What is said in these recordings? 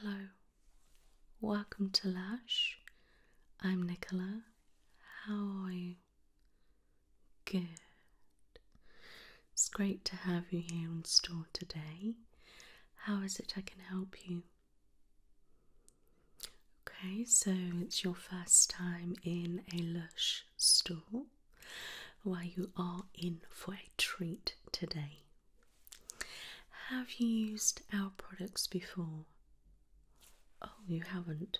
Hello, welcome to Lash. I'm Nicola. How are you? Good. It's great to have you here in store today. How is it I can help you? Okay, so it's your first time in a Lush store where you are in for a treat today. Have you used our products before? Oh, you haven't?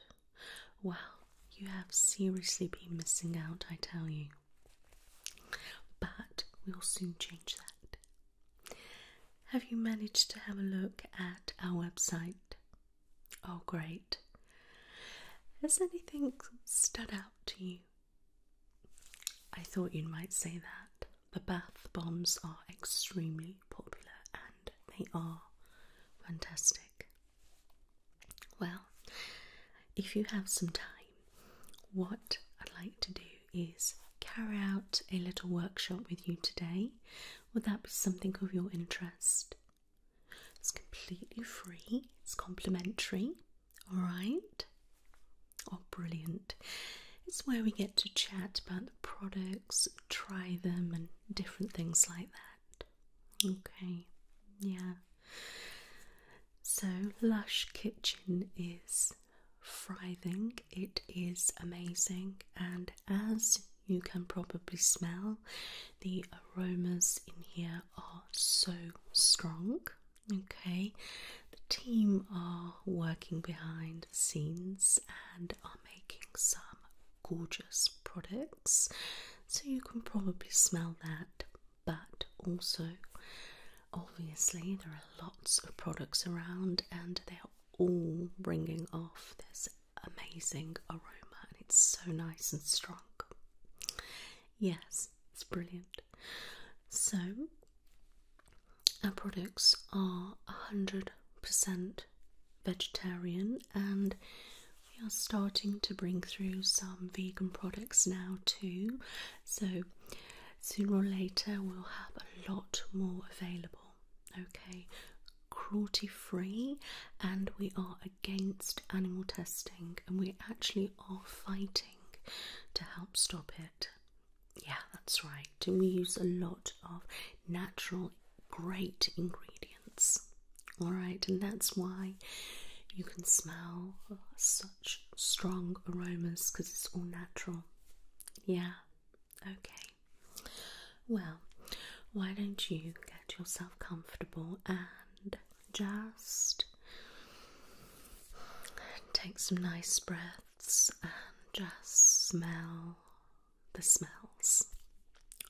Well, you have seriously been missing out, I tell you. But we'll soon change that. Have you managed to have a look at our website? Oh, great. Has anything stood out to you? I thought you might say that. The bath bombs are extremely popular and they are fantastic. Well, if you have some time, what I'd like to do is carry out a little workshop with you today would that be something of your interest? It's completely free, it's complimentary, alright? Oh, brilliant. It's where we get to chat about the products, try them, and different things like that. Okay, yeah. So, Lush Kitchen is thriving, it is amazing, and as you can probably smell. The aromas in here are so strong. Okay, the team are working behind the scenes and are making some gorgeous products, so you can probably smell that. But also, obviously, there are lots of products around and they are all bringing off this amazing aroma and it's so nice and strong. Yes, it's brilliant. So, our products are 100% vegetarian and we are starting to bring through some vegan products now too. So, sooner or later, we'll have a lot more available okay, cruelty free, and we are against animal testing, and we actually are fighting to help stop it. Yeah, that's right. And we use a lot of natural, great ingredients. All right, and that's why you can smell such strong aromas because it's all natural. Yeah, okay. Well, why don't you get yourself comfortable and just take some nice breaths and just smell the smells.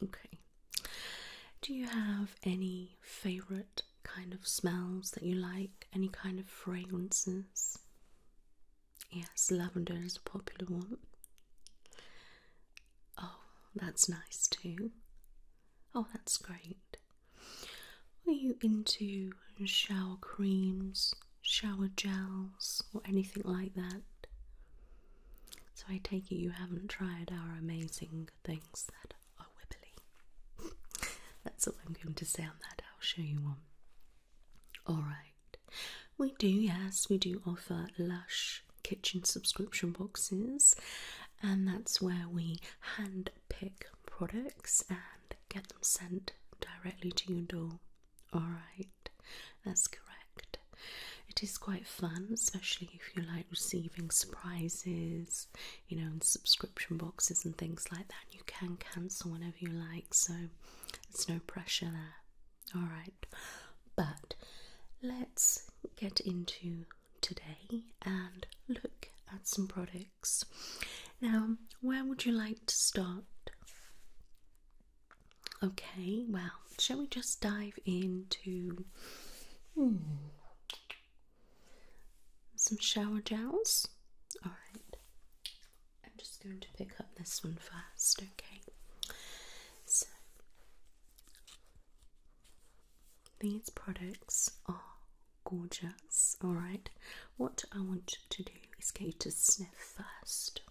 Okay. Do you have any favorite kind of smells that you like? Any kind of fragrances? Yes, lavender is a popular one. Oh, that's nice too. Oh, that's great. Are you into shower creams, shower gels, or anything like that? So I take it you haven't tried our amazing things that are wibbly. That's all I'm going to say on that. I'll show you one. Alright. We do, yes, we do offer Lush kitchen subscription boxes, and that's where we hand pick products and get them sent directly to your door. Alright, that's correct. It is quite fun, especially if you like receiving surprises, you know, and subscription boxes and things like that. You can cancel whenever you like, so it's no pressure there. All right, but let's get into today and look at some products. Now, where would you like to start? Okay, well, shall we just dive into hmm, some shower gels? Alright, I'm just going to pick up this one first, okay? So, these products are gorgeous, alright? What I want to do is get you to sniff first.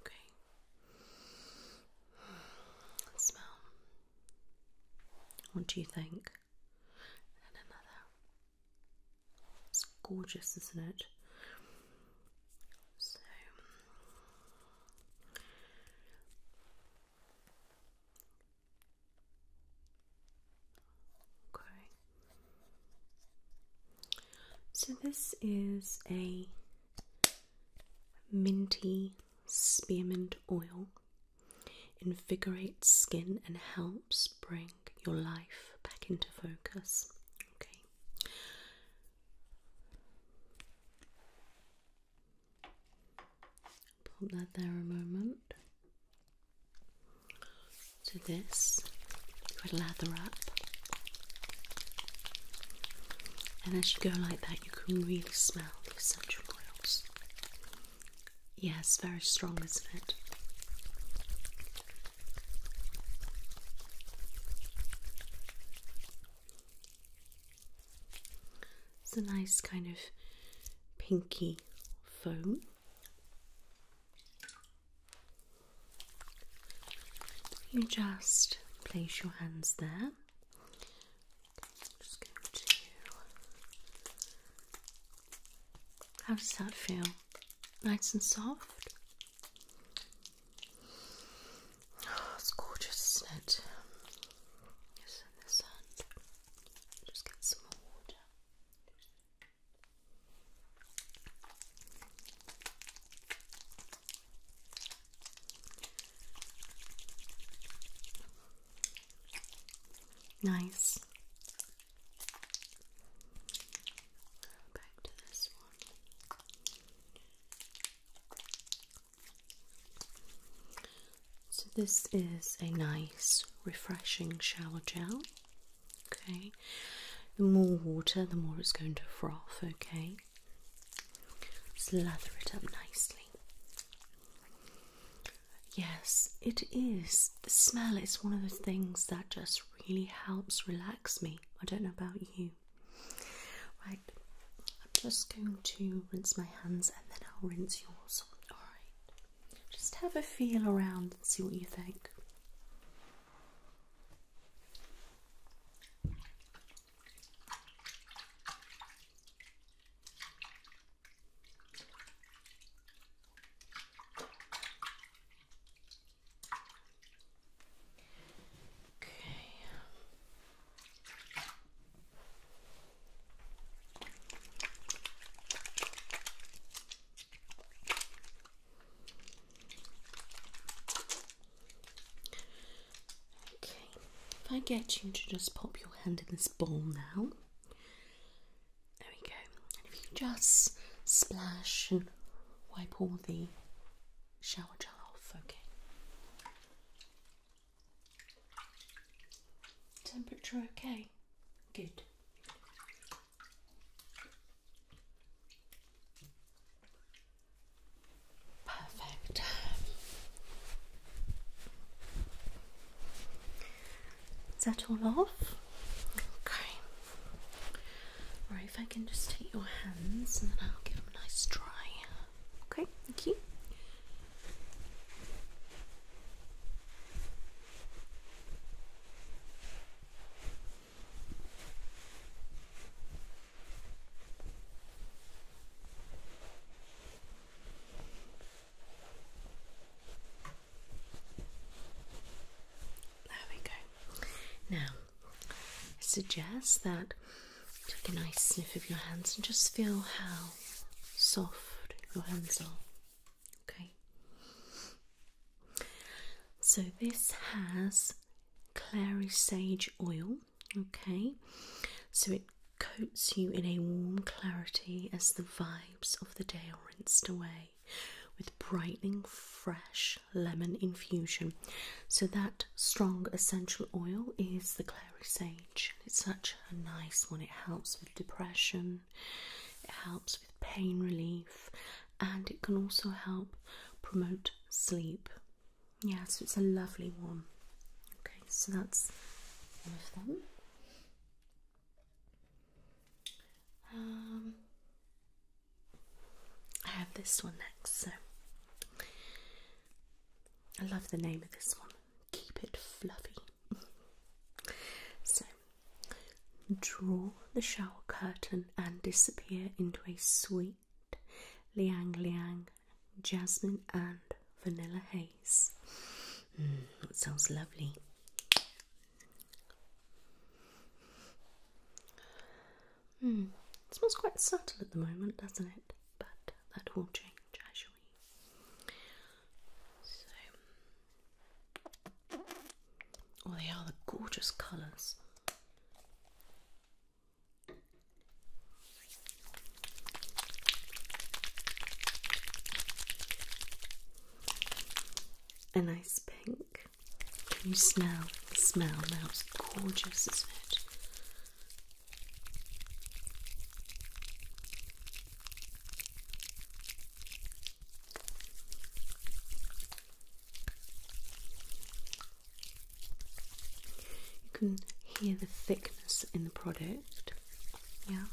Okay. Smell. What do you think? another. It's gorgeous, isn't it? So okay. So this is a minty spearmint oil. Invigorates skin and helps bring your life back into focus. Okay. Put that there a moment. So this a lather up, and as you go like that, you can really smell the essential oils. Yes, yeah, very strong, isn't it? It's a nice kind of pinky foam. You just place your hands there. How does that feel? Nice and soft. Oh, it's gorgeous, isn't it? It's in the sand. Just get some more water. Nice. Back to this one. So, this is a nice, refreshing shower gel. Okay, the more water, the more it's going to froth. Okay, slather it up nicely. Yes, it is. The smell is one of the things that just really helps relax me. I don't know about you. Right, I'm just going to rinse my hands and then I'll rinse yours. Alright, just have a feel around and see what you think. Okay. Okay, if I get you to just pop your hand in this bowl now, there we go. And if you just splash and wipe all the shower gel off, okay. Temperature okay? Good. Perfect. Is that all off? Okay. Right, if I can just take your hands and then I'll give them a nice dry. Okay, thank you. There we go. Now, suggest that Take a nice sniff of your hands and just feel how soft your hands are. Okay. So this has clary sage oil. Okay. So it coats you in a warm clarity as the vibes of the day are rinsed away with brightening fresh lemon infusion so that strong essential oil is the clary sage. It's such a nice one. It helps with depression, it helps with pain relief, and it can also help promote sleep. Yes, it's a lovely one. Okay, so that's one of them. Um, I have this one next. So I love the name of this one. Keep it fluffy. so, draw the shower curtain and disappear into a sweet liang liang jasmine and vanilla haze. Mm, that sounds lovely. Hmm. It smells quite subtle at the moment, doesn't it? But that will change actually. So, oh, they are the gorgeous colours. A nice pink. Can you smell the smell now? It's gorgeous, isn't it? You can hear the thickness in the product, yeah.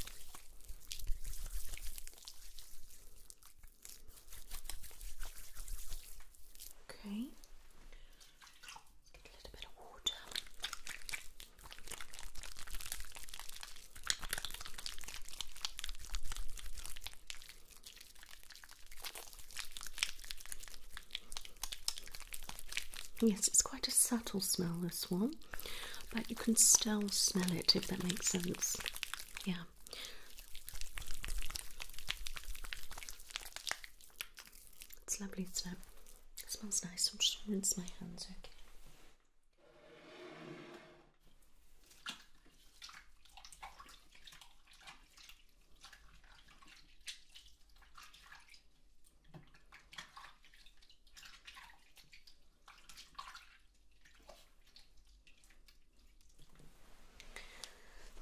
Okay, Yes, it's quite a subtle smell, this one, but you can still smell it if that makes sense. Yeah. It's lovely, isn't it? It smells nice. I'm just going rinse my hands, okay?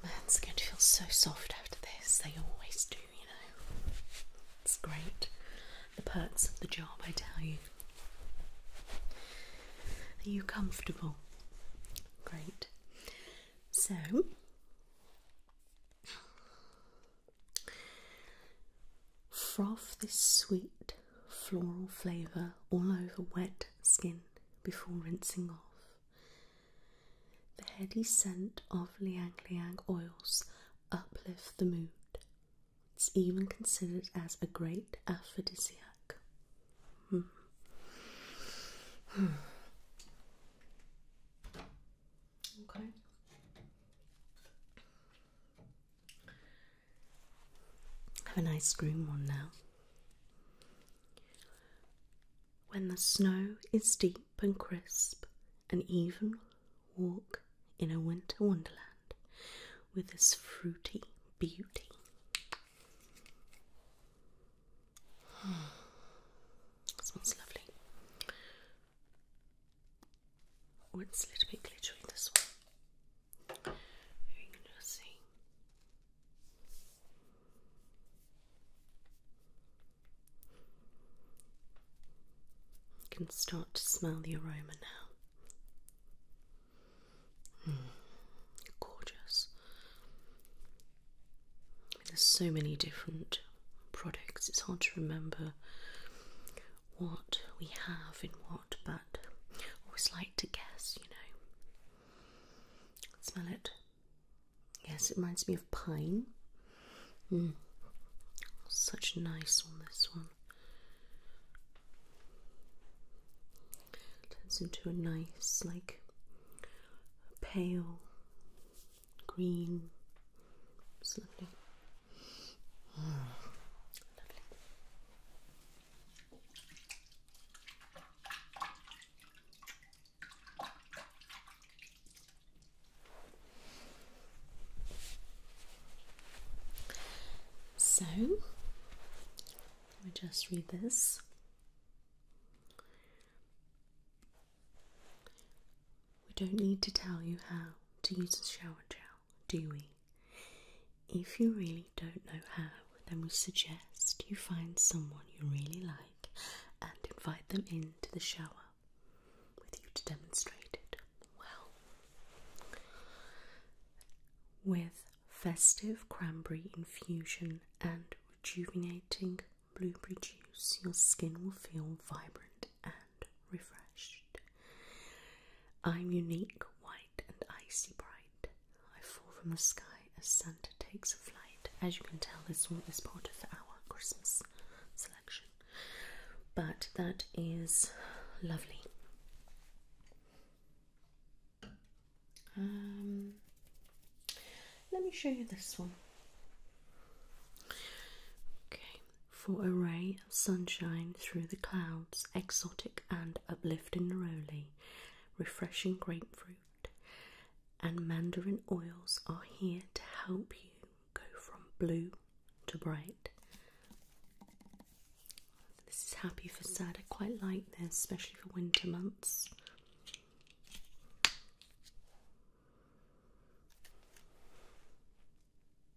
My hands are going to feel so soft after this, they always do. It's great. The perks of the job, I tell you. Are you comfortable? Great. So, froth this sweet floral flavour all over wet skin before rinsing off. The heady scent of liang liang oils uplift the mood. It's even considered as a great aphrodisiac. Hmm. Hmm. Okay. Have a nice cream one now. When the snow is deep and crisp, and even walk in a winter wonderland with this fruity beauty. smells lovely. Oh, a little bit glittery this one. You can just see. You can start to smell the aroma now. Mm, gorgeous. there's so many different products, it's hard to remember what we have in what, but I always like to guess, you know. Smell it. Yes, it reminds me of pine. Mm. Such nice on this one. Turns into a nice, like pale green. It's lovely. lovely. So, let me just read this. We don't need to tell you how to use a shower gel, do we? If you really don't know how, then we suggest you find someone you really like and invite them into the shower with you to demonstrate it well. With festive cranberry infusion and rejuvenating blueberry juice, your skin will feel vibrant and refreshed. I'm unique, white, and icy bright. I fall from the sky as Santa takes a flight. As you can tell, this, one is part of our Christmas but that is lovely. Um, let me show you this one. Okay, for a ray of sunshine through the clouds, exotic and uplifting neroli, refreshing grapefruit, and mandarin oils are here to help you go from blue to bright. This is happy for sad. I quite like this, especially for winter months.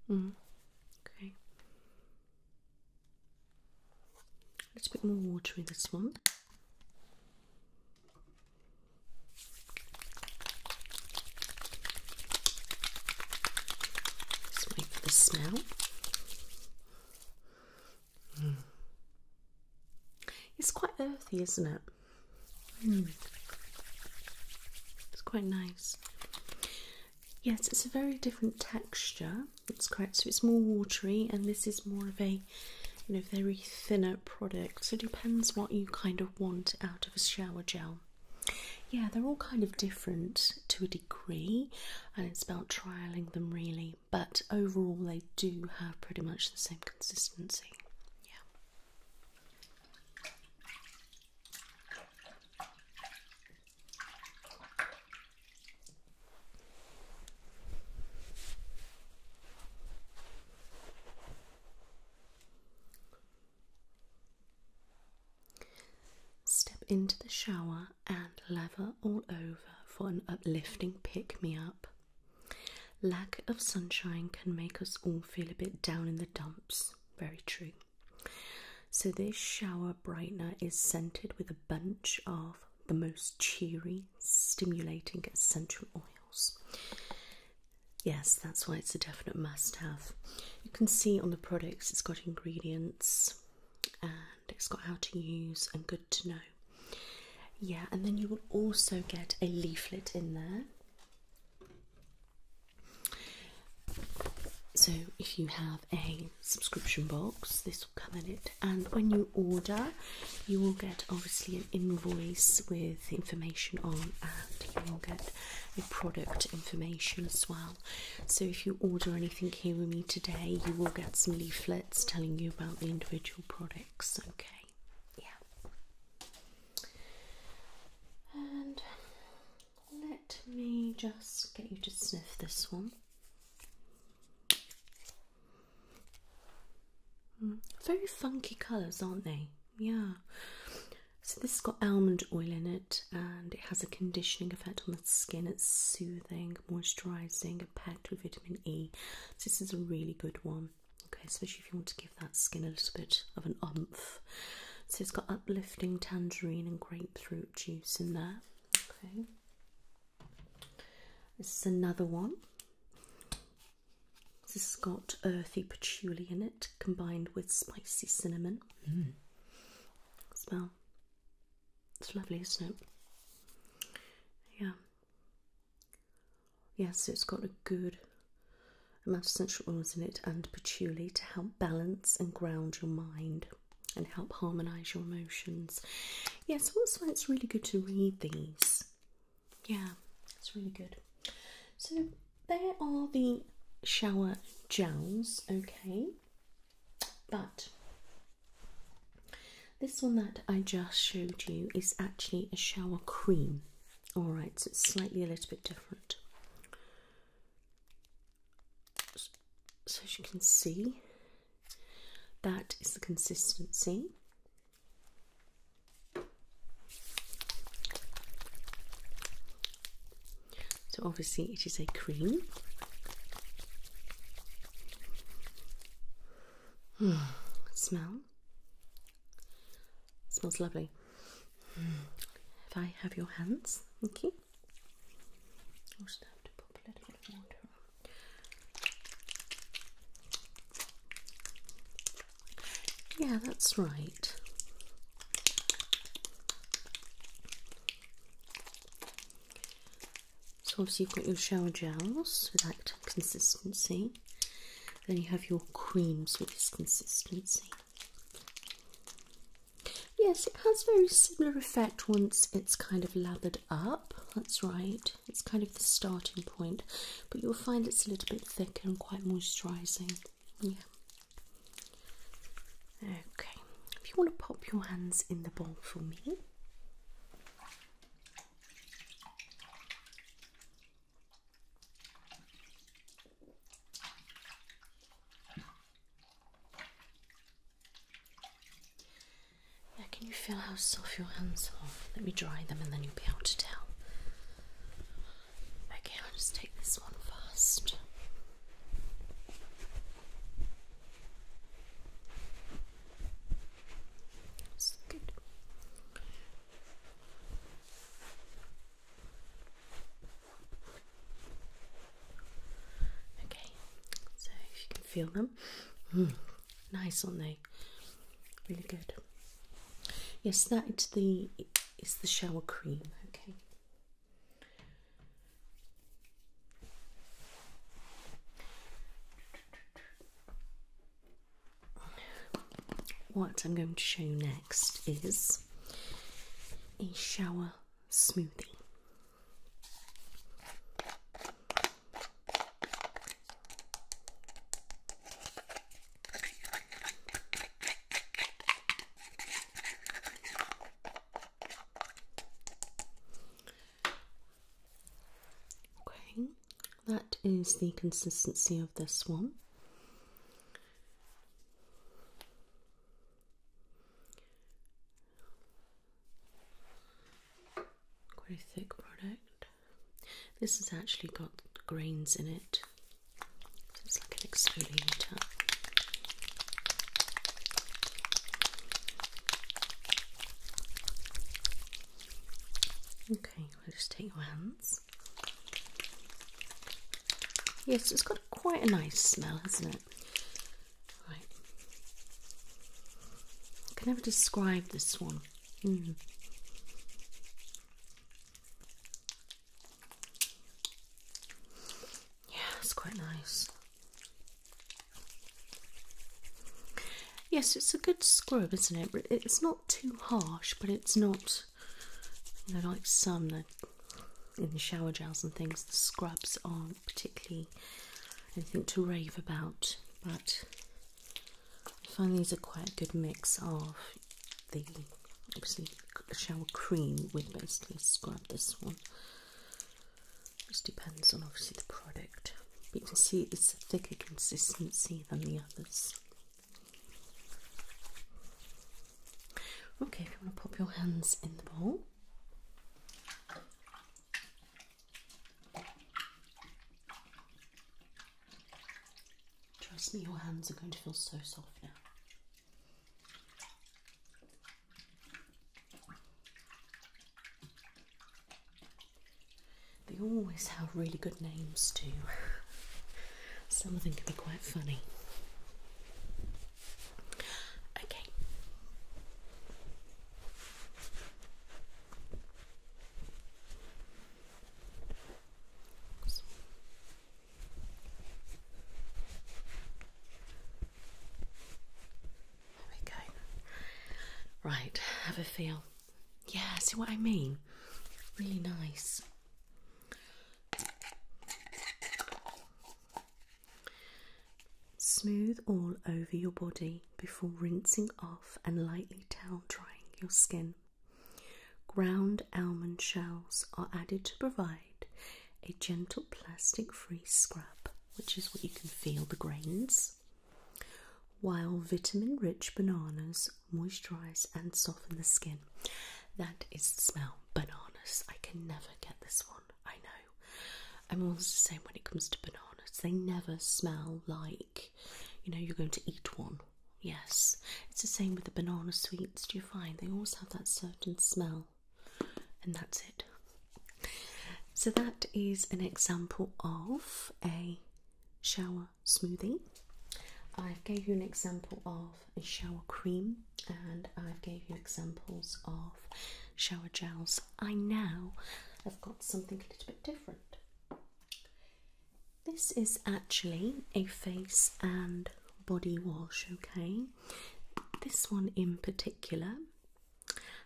Mm. Okay. A little bit more water in this one. Just wait for the smell. Hmm. It's quite earthy, isn't it? Hmm. It's quite nice. Yes, it's a very different texture. It's quite So it's more watery, and this is more of a, you know, very thinner product. So it depends what you kind of want out of a shower gel. Yeah, they're all kind of different to a degree, and it's about trialing them really, but overall, they do have pretty much the same consistency. Yeah. Step into the shower and lather all over for an uplifting pick me up. Lack of sunshine can make us all feel a bit down in the dumps. Very true. So, this shower brightener is scented with a bunch of the most cheery, stimulating essential oils. Yes, that's why it's a definite must have. You can see on the products it's got ingredients and it's got how to use and good to know. Yeah, and then you will also get a leaflet in there. So, if you have a subscription box, this will come in it, and when you order, you will get obviously an invoice with information on, and you will get a product information as well. So, if you order anything here with me today, you will get some leaflets telling you about the individual products. Okay, yeah, and let me just get you to sniff this one. Mm, very funky colours, aren't they? yeah. So this has got almond oil in it, and it has a conditioning effect on the skin. It's soothing, moisturising, packed with vitamin E. this is a really good one. Okay, especially if you want to give that skin a little bit of an umph. So it's got uplifting tangerine and grapefruit juice in there. Okay. This is another one. This has got earthy patchouli in it combined with spicy cinnamon. Mm. Smell. It's lovely, isn't it? Yeah. Yes, it's got a good amount of essential oils in it and patchouli to help balance and ground your mind and help harmonize your emotions. Yes, yeah, it's really good to read these. Yeah, it's really good. So there are the shower gels, okay, but this one that I just showed you is actually a shower cream, alright, so it's slightly a little bit different. So, as you can see, that is the consistency. So, obviously, it is a cream. smell smells lovely. If I have your hands, okay. Yeah, that's right. So obviously you've got your shower gels with that consistency. Then you have your creams with this consistency. Yes, it has very similar effect once it's kind of lathered up. That's right. It's kind of the starting point, but you'll find it's a little bit thicker and quite moisturising. Yeah. Okay. If you want to pop your hands in the bowl for me. Now, can you feel how soft your hands are? Let me dry them and then you'll be able to tell. Okay, I'll just take this one first. That's good. Okay, so if you can feel them, hmm, nice, on not they? Really good. Yes, that is the it's the shower cream. Okay, what I'm going to show next is a shower smoothie. Okay, that is the consistency of this one. Quite a thick product. This has actually got grains in it, it's like an exfoliator. Okay, we'll just take your hands. Yes, it's got quite a nice smell, hasn't it? Right. I can never describe this one. Mm. Yeah, it's quite nice. Yes, it's a good scrub, isn't it? It's not too harsh, but it's not, like some in the shower gels and things, the scrubs aren't particularly anything to rave about, but I find these are quite a good mix of, the obviously shower cream we basically scrub this one. Just depends on obviously the product. But you can see it's a thicker consistency than the others. Okay, if you want to pop your hands in the bowl. Trust me, your hands are going to feel so soft now. They always have really good names too. Some of them can be quite funny. Okay. There we go. Right, have a feel. Yeah, see what I mean? Really nice. Smooth all over your body before rinsing off and lightly towel drying your skin. Ground almond shells are added to provide a gentle plastic free scrub, which is what you can feel the grains, while vitamin rich bananas moisturize and soften the skin. That is the smell. Bananas. I can never get this one. I know. I'm always the same when it comes to bananas. They never smell like, you know, you're going to eat one. Yes. It's the same with the banana sweets. Do you find they always have that certain smell? and that's it. So, that is an example of a shower smoothie. I've gave you an example of a shower cream and I've gave you examples of shower gels. I now have got something a little bit different. This is actually a face and body wash, okay? This one in particular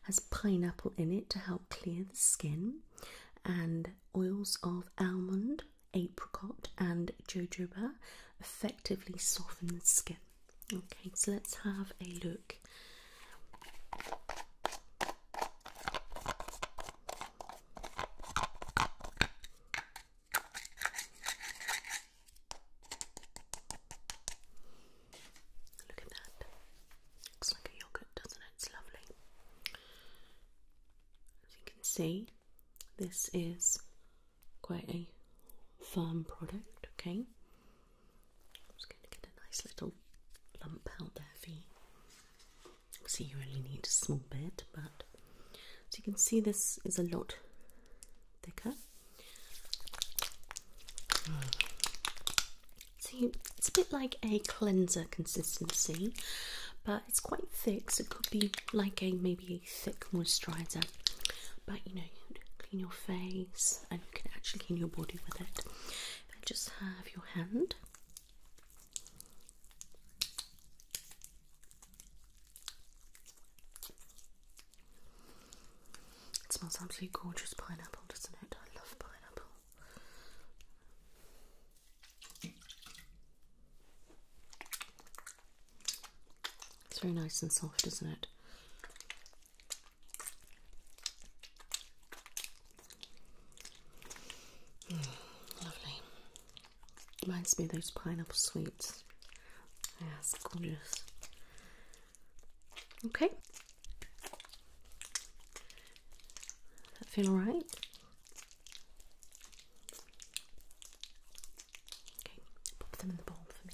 has pineapple in it to help clear the skin and oils of almond, apricot and jojoba effectively soften the skin. Okay, so let's have a look. Look at that. Looks like a yogurt, doesn't it? It's lovely. As you can see, this is quite a firm product, okay? I'm going to get a nice little lump out there for you. See, you only need a small bit, but so you can see this is a lot thicker. See, it's a bit like a cleanser consistency, but it's quite thick, so it could be like a maybe a thick moisturizer. But you know, you clean your face and you can actually clean your body with it. I just have your hand. It smells absolutely gorgeous pineapple, doesn't it? I love pineapple. It's very nice and soft, isn't it? Mm, lovely. Reminds me of those pineapple sweets. That's gorgeous. Okay. That feel alright? Okay, pop them in the bowl for me.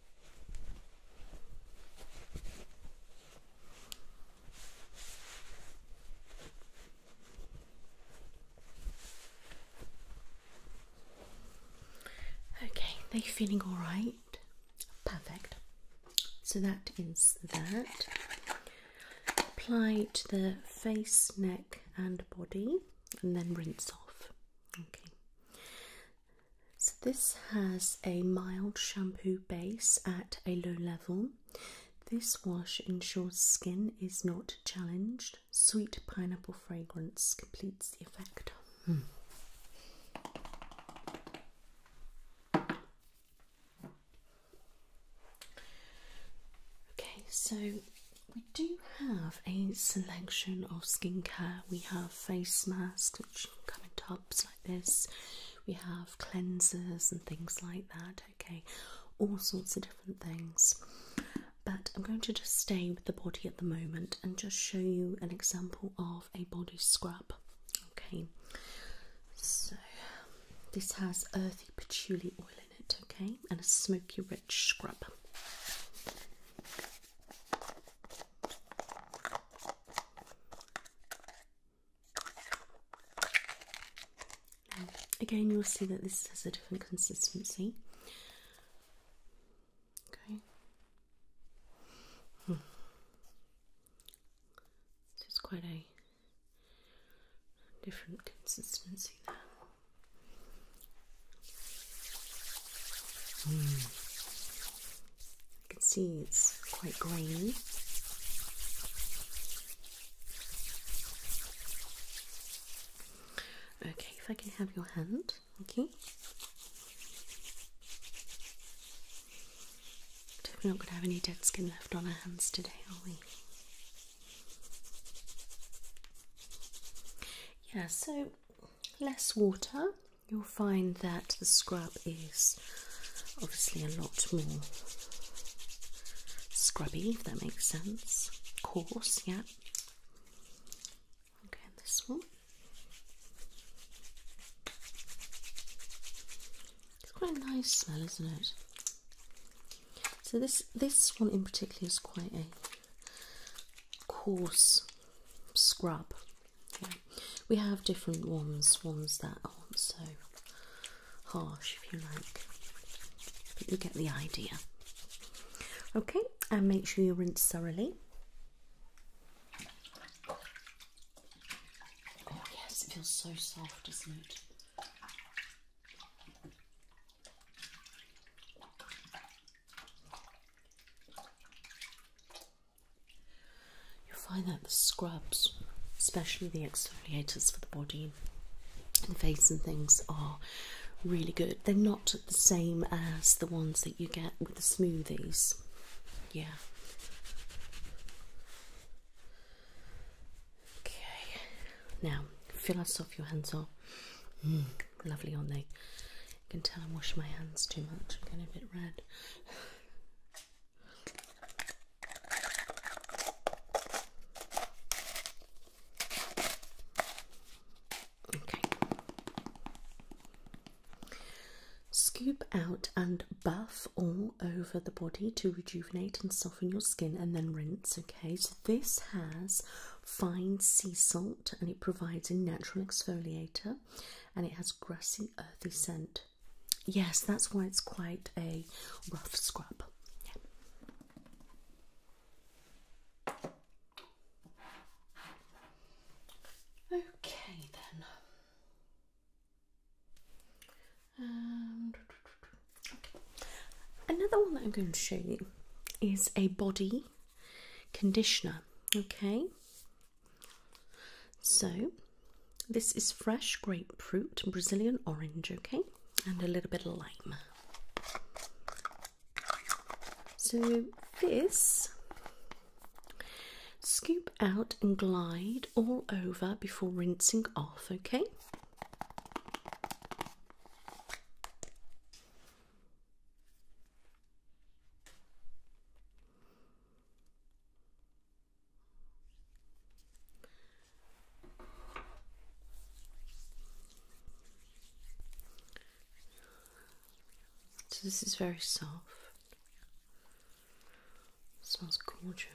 Okay, are you feeling all right? Perfect. So that is that. Apply to the face, neck, and body, and then rinse off. Okay, so, this has a mild shampoo base at a low level. This wash ensures skin is not challenged. Sweet pineapple fragrance completes the effect. Hmm. Okay, so we do have a selection of skincare. We have face masks, which come in like this. We have cleansers and things like that. Okay, all sorts of different things. But I'm going to just stay with the body at the moment and just show you an example of a body scrub. Okay, so this has earthy patchouli oil in it, okay, and a smoky rich scrub again, you'll see that this has a different consistency. Okay. Hmm. So quite a different consistency there. Hmm. You can see it's quite grainy. Okay, if I can have your hand, okay. We're not going to have any dead skin left on our hands today, are we? Yeah, so less water you'll find that the scrub is obviously a lot more scrubby, if that makes sense. Coarse, yeah. Okay, this one. It's quite a nice smell, isn't it? So this this one in particular is quite a coarse scrub we have different ones, ones that aren't so harsh, if you like. But you get the idea. Okay, and make sure you rinse thoroughly. Oh, yes, it feels so soft, doesn't it? You'll find that the scrubs, especially the exfoliators for the body and face and things, are really good. They're not the same as the ones that you get with the smoothies. Yeah. Okay. Now, feel us off your hands are. Mm, lovely, aren't they? You can tell I wash my hands too much. I'm getting a bit red. Okay. Scoop out and buff all over the body to rejuvenate and soften your skin and then rinse. Okay, so this has fine sea salt and it provides a natural exfoliator and it has grassy, earthy scent. Yes, that's why it's quite a rough scrub. Okay, then. Um, another one that I'm going to show you is a body conditioner. Okay, so, this is fresh grapefruit, Brazilian orange, okay, and a little bit of lime. So, this scoop out and glide all over before rinsing off, okay. So this is very soft. smells gorgeous.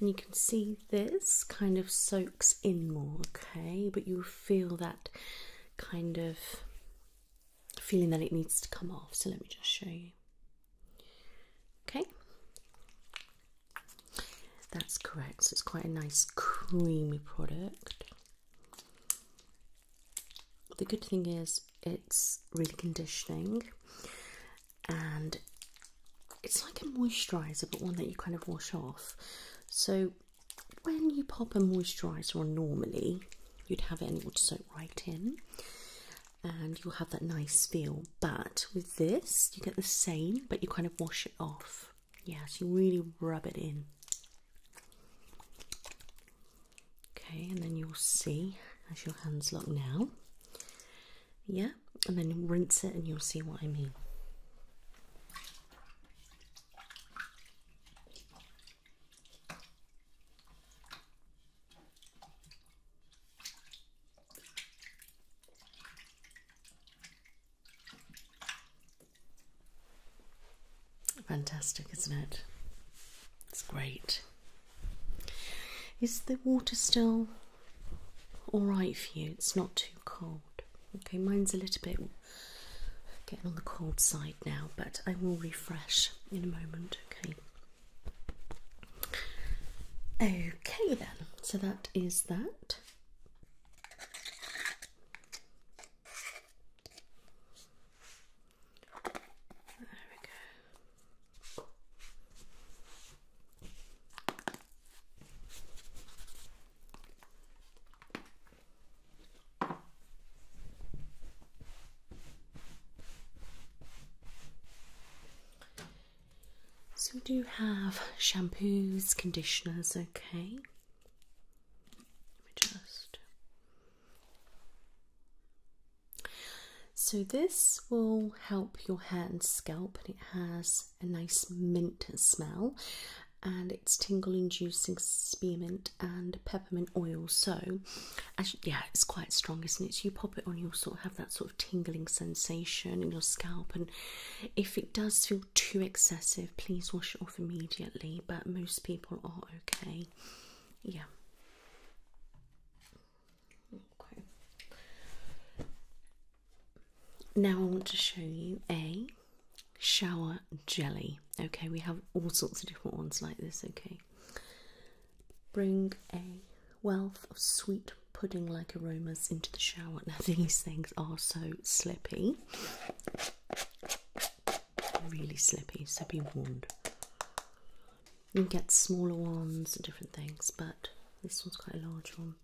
And you can see this kind of soaks in more, okay? But you feel that kind of feeling that it needs to come off. So let me just show you. Okay, that's correct. So it's quite a nice creamy product. The good thing is it's really conditioning and it's like a moisturizer but one that you kind of wash off. So when you pop a moisturizer on normally, you'd have it and it would soak right in and you'll have that nice feel. But with this, you get the same, but you kind of wash it off. Yes, you really rub it in. Okay, and then you'll see as your hands look now. Yeah, and then rinse it and you'll see what I mean. Fantastic, isn't it? It's great. Is the water still alright for you? It's not too cold. Okay, mine's a little bit getting on the cold side now, but I will refresh in a moment, okay? Okay, then, so that is that. There we go. So we do have shampoos, conditioners, okay. just So this will help your hair and scalp and it has a nice mint smell and it's tingle inducing spearmint and peppermint oil. So, yeah, it's quite strong, isn't it? you pop it on, your sort of have that sort of tingling sensation in your scalp. And if it does feel too excessive, please wash it off immediately. But most people are okay. Yeah. Okay. Now I want to show you a shower jelly. Okay, we have all sorts of different ones like this. Okay, Bring a wealth of sweet pudding like aromas into the shower. Now, these things are so slippy, really slippy, so be warned. You get smaller ones and different things, but this one's quite a large one.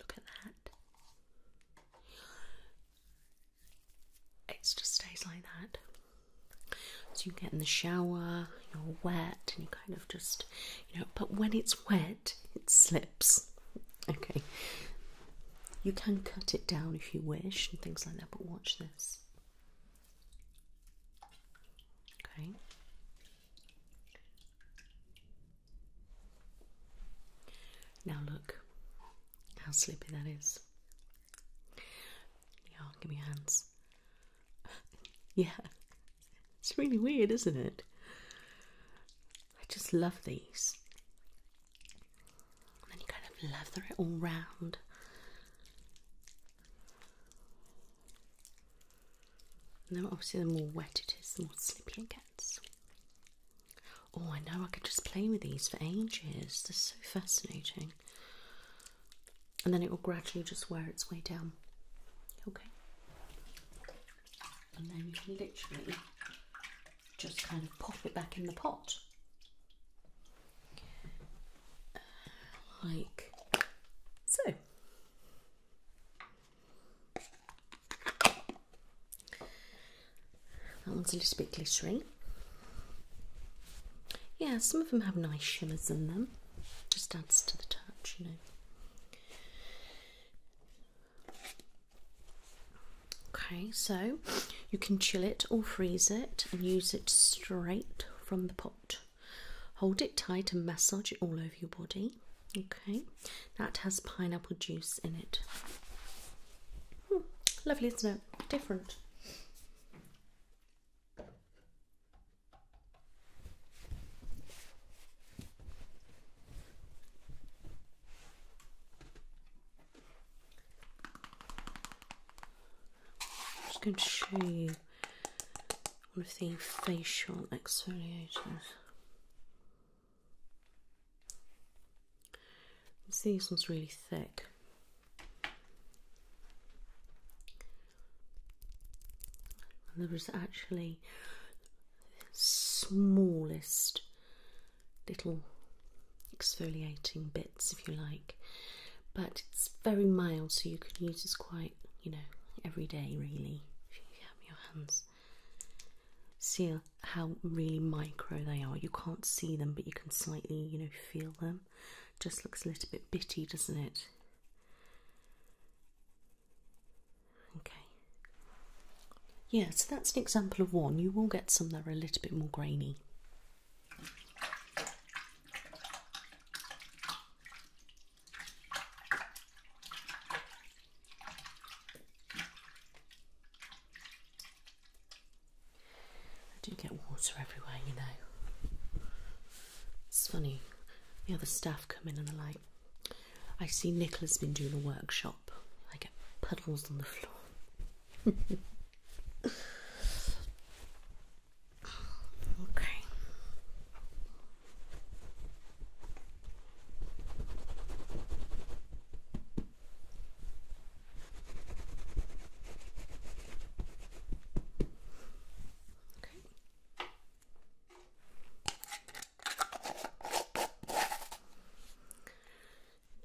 Look at that it just stays like that. So you get in the shower, you're wet, and you kind of just, you know, but when it's wet, it slips. Okay. You can cut it down if you wish and things like that, but watch this. Okay. Now look how sleepy that is. Yeah, give me your hands. yeah, it's really weird, isn't it? I just love these. And you kind of lather it all round. No, obviously, the more wet it is, the more slippery it gets. Oh, I know, I could just play with these for ages. They're so fascinating and then it will gradually just wear its way down. Okay, and then you can literally just kind of pop it back in the pot like so. That one's a little bit glittering. Yeah, some of them have nice shimmers in them. Just adds to the touch, you know. Okay, so you can chill it or freeze it and use it straight from the pot. Hold it tight and massage it all over your body. Okay, that has pineapple juice in it. Hmm, lovely, isn't it? Different. I'm just going to show you one of the facial exfoliators. See, This one's really thick. And there was actually smallest little exfoliating bits, if you like, but it's very mild, so you can use this quite, you know, every day really. If you have your hands, see how really micro they are. You can't see them, but you can slightly, you know, feel them. Just looks a little bit bitty, doesn't it? Okay. Yeah, so that's an example of one. You will get some that are a little bit more grainy. I do get water everywhere, you know. It's funny. The other staff come in and they're like, I see Nicholas been doing a workshop. I get puddles on the floor. okay.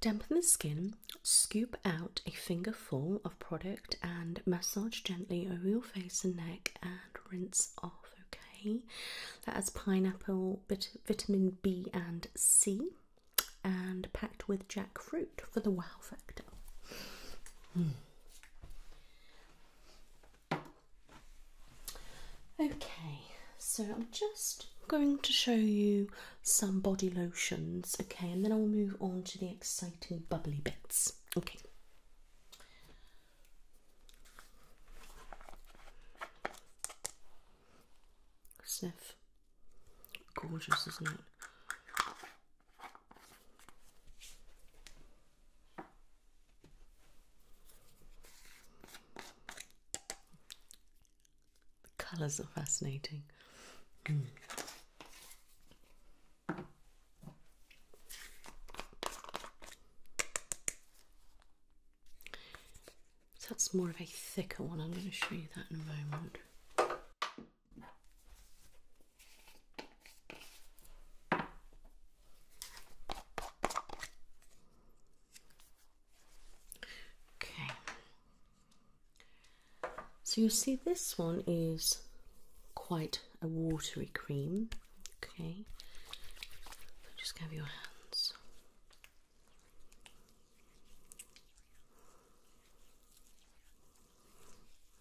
Dampen the skin, scoop out a fingerful of product and massage gently over your face and neck and rinse off, okay? That has pineapple, vitamin B and C and packed with jackfruit for the wow factor. Hmm. Okay, so I'm just going to show you some body lotions, okay, and then I'll move on to the exciting bubbly bits, okay. Sniff. Gorgeous, isn't it? The colours are fascinating. that's more of a thicker one. I'm going to show you that in a moment. Okay. So you see this one is quite a watery cream. Okay. Just have your hands.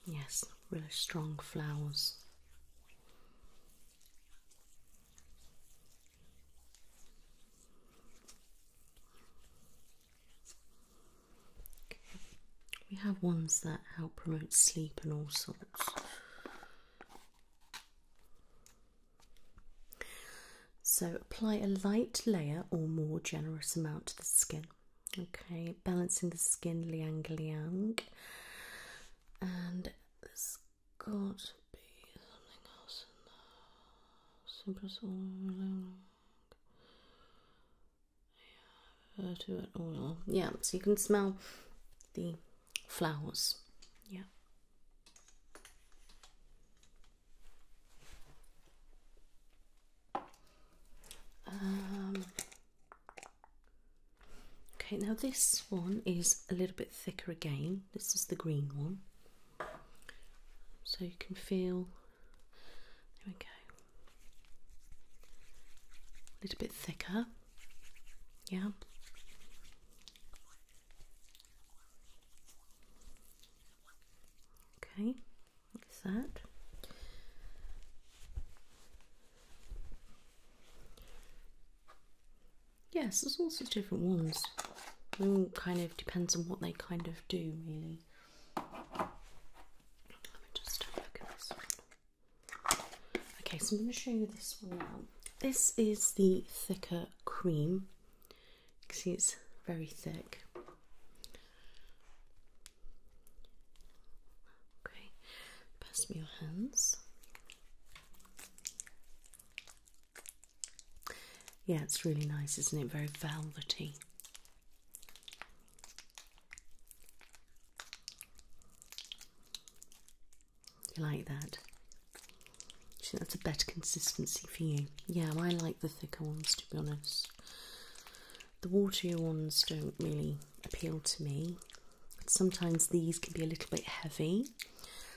Yes, really strong flowers. We have ones that help promote sleep and all sorts. So, apply a light layer or more generous amount to the skin. Okay, balancing the skin, liang liang. And there's got to be something else in there. Simple soul. Yeah, to it oil. Yeah, so you can smell the flowers. Yeah. Um, Okay, now this one is a little bit thicker again. This is the green one. So you can feel, there we go, a little bit thicker. Yeah. Okay. Is that. Yes, there's all sorts of different ones. It all kind of depends on what they kind of do, really. Okay, so I'm going to show you this one now. This is the thicker cream. You can see it's very thick. Okay, pass me your hands. Yeah, it's really nice, isn't it? Very velvety. You like that? I that's a better consistency for you. Yeah, I like the thicker ones to be honest. The watery ones don't really appeal to me. Sometimes these can be a little bit heavy,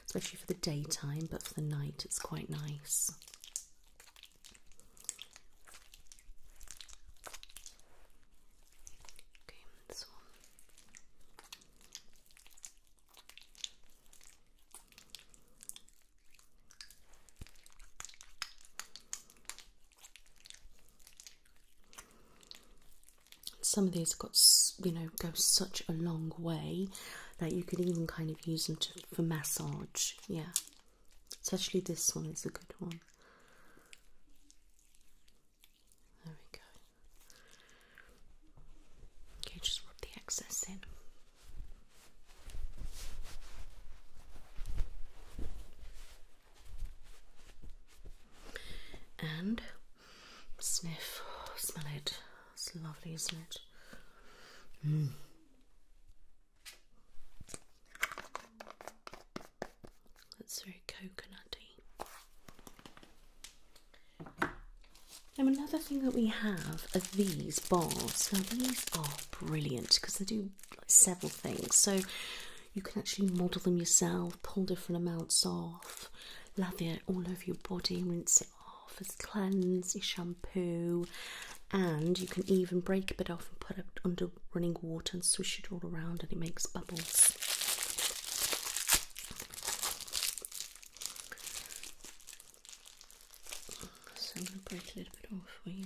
especially for the daytime, but for the night it's quite nice. Some of these got you know go such a long way that you could even kind of use them to, for massage. Yeah, especially this one is a good one. There we go. Okay, just rub the excess in and sniff, smell it. It's lovely, isn't it? Mm. That's very coconutty. Now another thing that we have are these bars. Now these are brilliant because they do several things. So you can actually model them yourself, pull different amounts off, lather it all over your body, rinse it off as cleanse, your shampoo, and you can even break a bit off and put it under running water and swish it all around, and it makes bubbles. So I'm going to break a little bit off for you.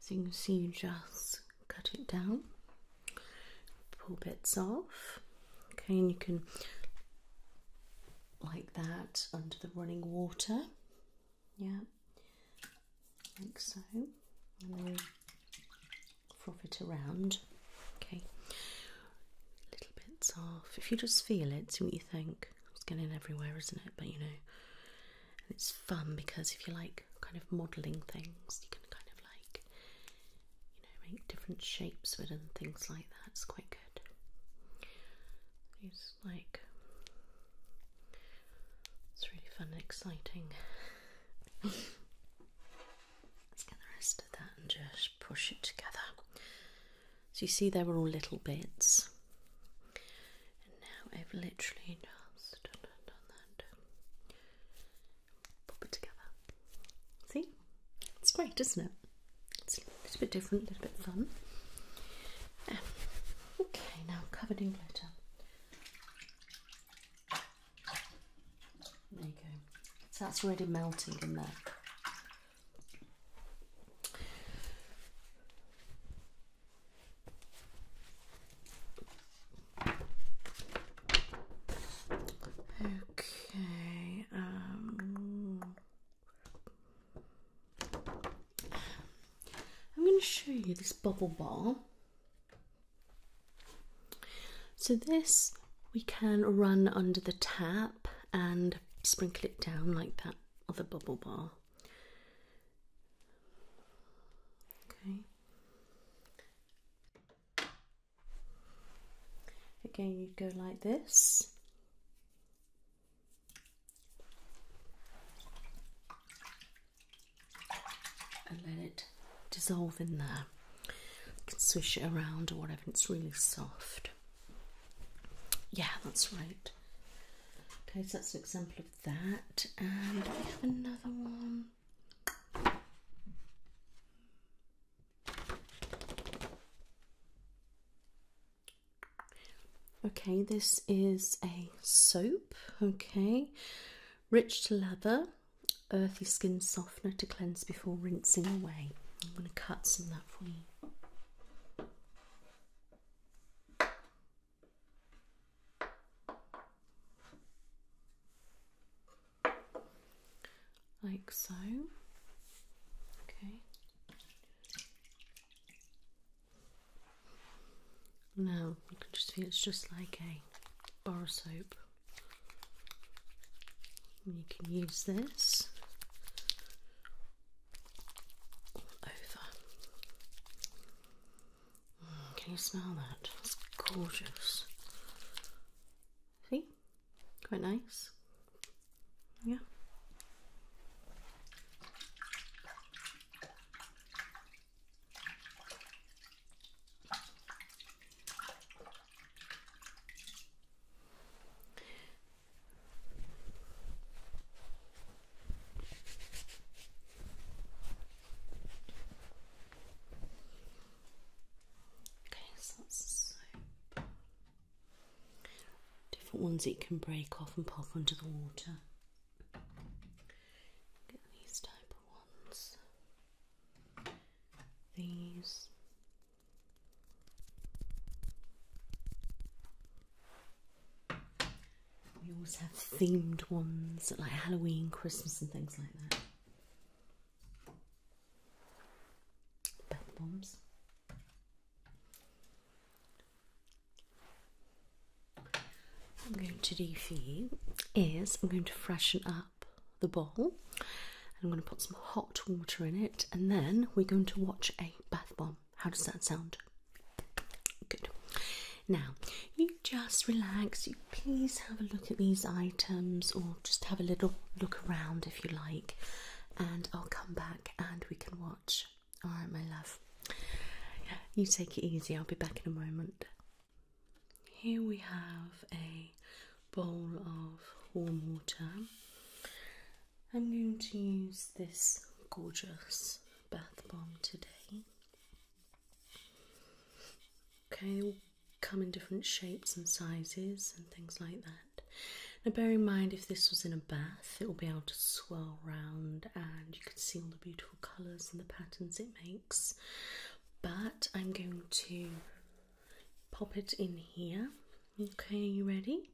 So you can see you just cut it down, pull bits off, okay, and you can like that under the running water, yeah, like so, and then froth it around. Okay, little bits off. If you just feel it, see what you think. It's getting everywhere, isn't it? But you know, it's fun because if you like kind of modelling things, you can kind of like you know make different shapes with and things like that. It's quite good. It's like it's really fun and exciting. Let's get the rest of that and just push it together. So you see, they were all little bits, and now I've literally just done that. Pop it together. See, it's great, isn't it? It's a little bit different, a little bit fun. Um, okay, now covered in glitter. There you go. So that's already melting in there. Okay. Um, I'm going to show you this bubble ball. So, this we can run under the tap and sprinkle it down like that other bubble bar. Okay. Again, you go like this and let it dissolve in there. You swish it around or whatever, it's really soft. Yeah, that's right. Okay, so that's an example of that. And we have another one. Okay, this is a soap. Okay, rich leather earthy skin softener to cleanse before rinsing away. I'm going to cut some of that for you. Like so. Okay. Now you can just feel it's just like a bar of soap. You can use this all over. Mm, can you smell that? It's gorgeous. See? Quite nice. Yeah. Okay, so Different ones it can break off and pop under the water. Get these type of ones these we always have themed ones like Halloween, Christmas and things like that. Bath bombs. I'm going to do for you is I'm going to freshen up the bowl. I'm going to put some hot water in it, and then we're going to watch a bath bomb. How does that sound? Good. Now, you just relax. You please have a look at these items, or just have a little look around if you like, and I'll come back and we can watch. All right, my love. You take it easy. I'll be back in a moment. Here we have a bowl of warm water. I'm going to use this gorgeous bath bomb today. Okay, they all come in different shapes and sizes and things like that. Now, bear in mind if this was in a bath, it will be able to swirl around, and you can see all the beautiful colours and the patterns it makes. But I'm going to pop it in here. Okay, are you ready?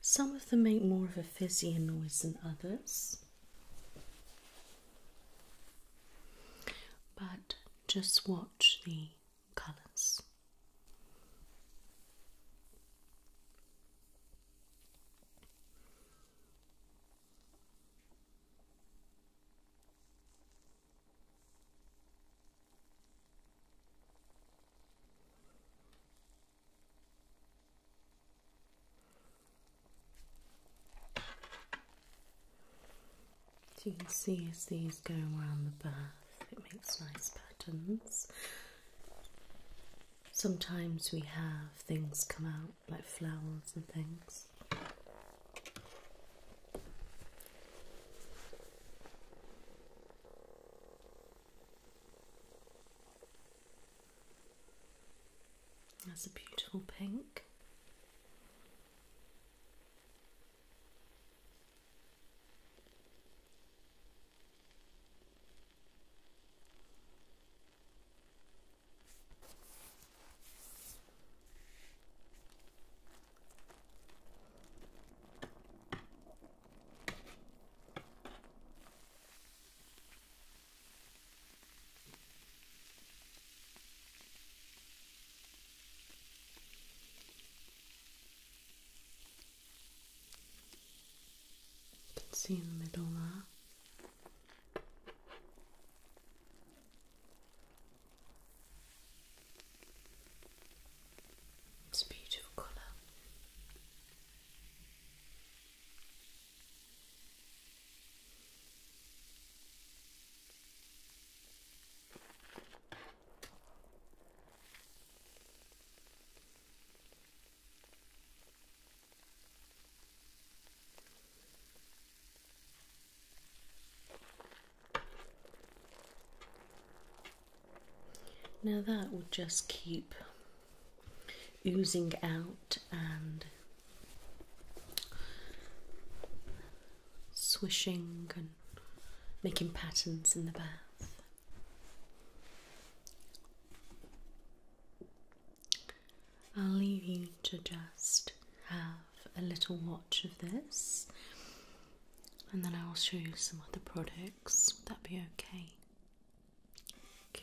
Some of them make more of a fizzy noise than others, but just watch the colours. So you can see as these go around the bath, it makes nice patterns. Sometimes we have things come out like flowers and things this. That's a beautiful pink. You can see in the middle there. It's a beautiful colour. Now that would just keep oozing out and swishing and making patterns in the bath. I'll leave you to just have a little watch of this and then I'll show you some other products. Would that be okay? Good.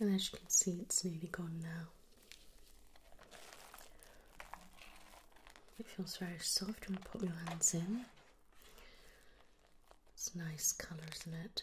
And as you can see, it's nearly gone now. It feels very soft when you put your hands in. It's nice colour, isn't it?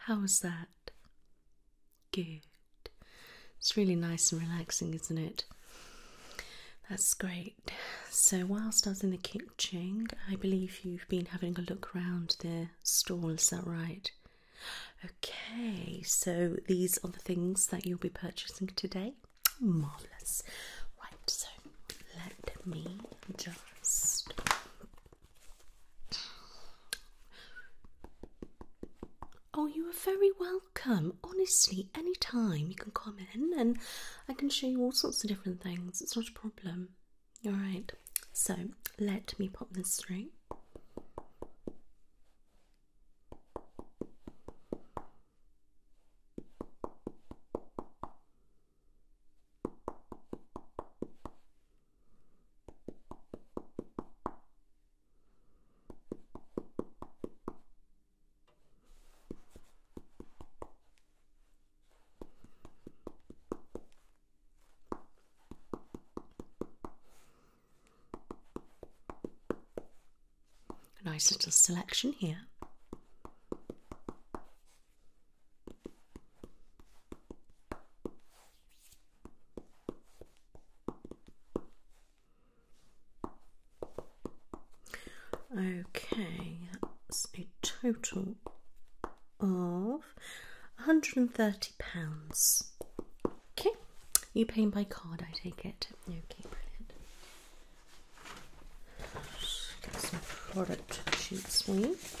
How's that? Good. It's really nice and relaxing, isn't it? That's great. So, whilst I was in the kitchen, I believe you've been having a look around the stall, is that right? Okay, so these are the things that you'll be purchasing today. Marvellous. Right, so let me just. Oh, you are very welcome. Honestly, any time you can come in and I can show you all sorts of different things. It's not a problem. All right, so let me pop this through. Nice little selection here. Okay, that's a total of £130. Okay, you paying by card, I take it. Okay, brilliant. get some product sheets please.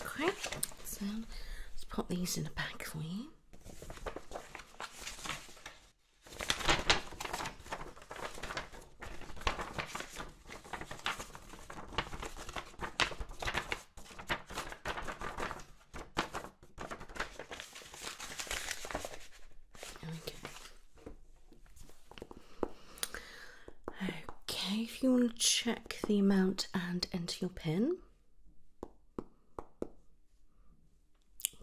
Okay, so let's pop these in a the bag for you. Okay. Okay, if you want to check the amount and enter your pin.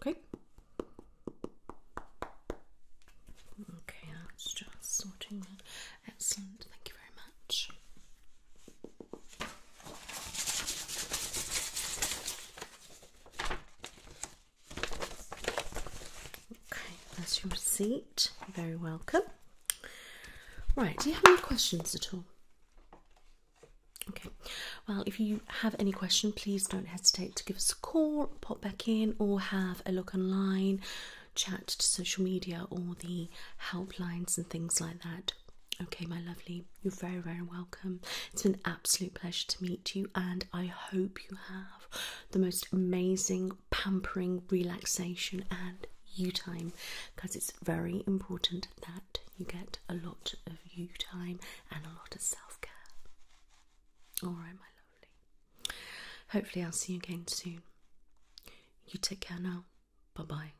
Okay. Okay, that's just sorting that. Excellent, thank you very much. Okay, that's your receipt. Very welcome. Right, do you have any questions at all? Okay, well, if you have any question, please don't hesitate to give us a call, pop back in, or have a look online, chat to social media or the helplines and things like that. Okay, my lovely, you're very, very welcome. It's been an absolute pleasure to meet you, and I hope you have the most amazing pampering, relaxation, and you time because it's very important that you get a lot of you time and a lot of self care. Alright, my lovely. Hopefully, I'll see you again soon. You take care now. Bye bye.